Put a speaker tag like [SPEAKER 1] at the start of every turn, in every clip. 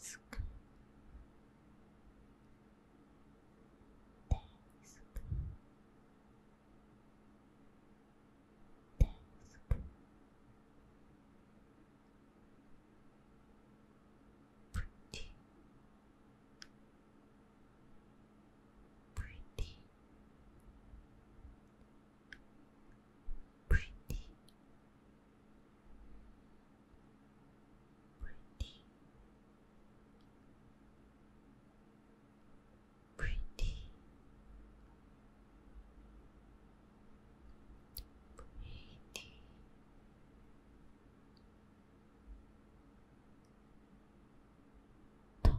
[SPEAKER 1] Desk. Desk. Pretty. Pretty. Pretty. Pretty. Pretty. Pretty. Top.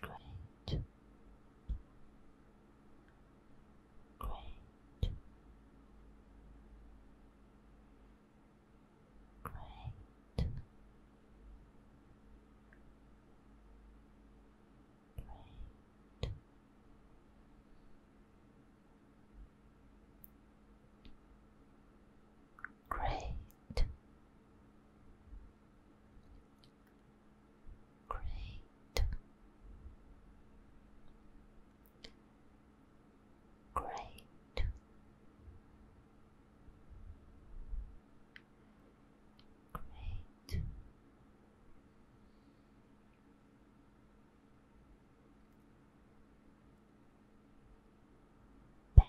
[SPEAKER 1] Great. Great. Great. Great. Great. Great. Great. Great. Bad.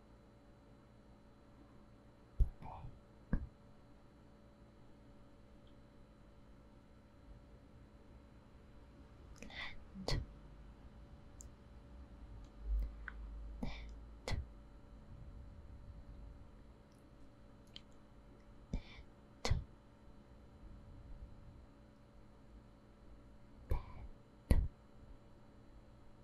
[SPEAKER 1] Land. Land. Land. Bed.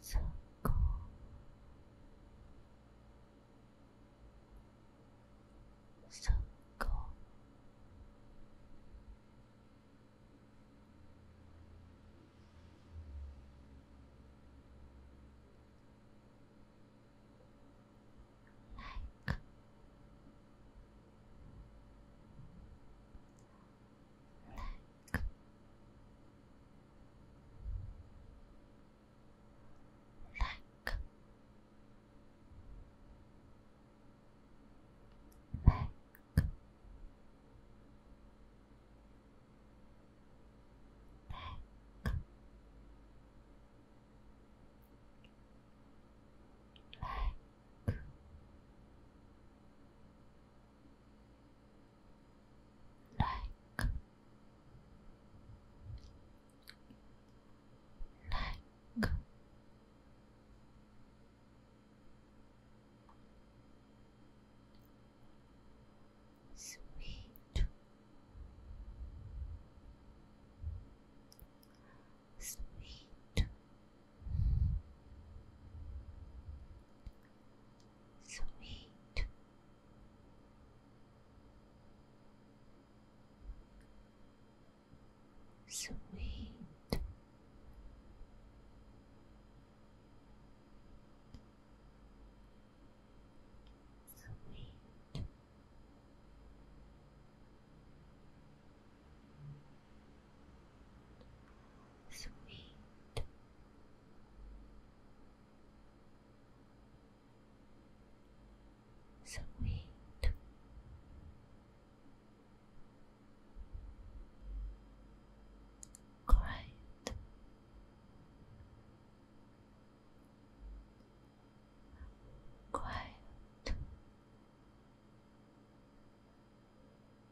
[SPEAKER 1] so cool. So cool. Like like Back. Back. Back. Back like like sweet sweet Sweet. Sweet. Sweet sweet. Sweet, great, great,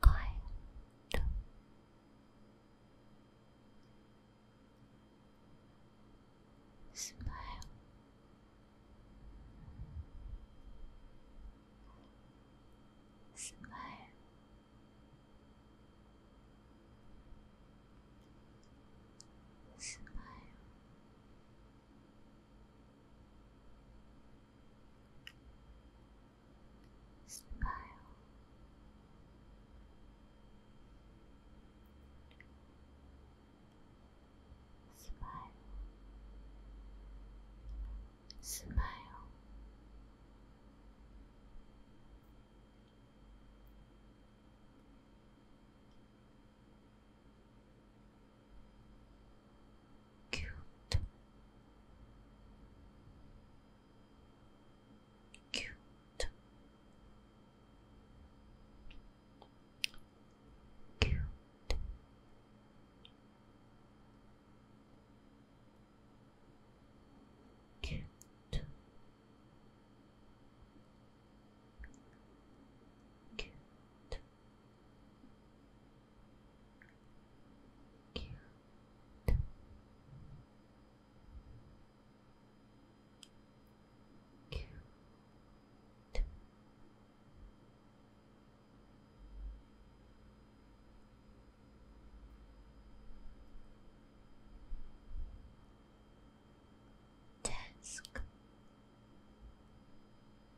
[SPEAKER 1] kind. Smile. Smile. Smile. Smile. Smile. Smile cute cute cute cute cute Cute. Cute. Desk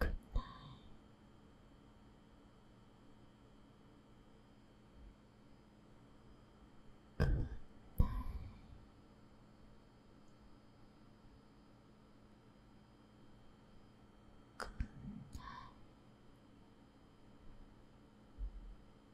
[SPEAKER 1] Good night. Good Good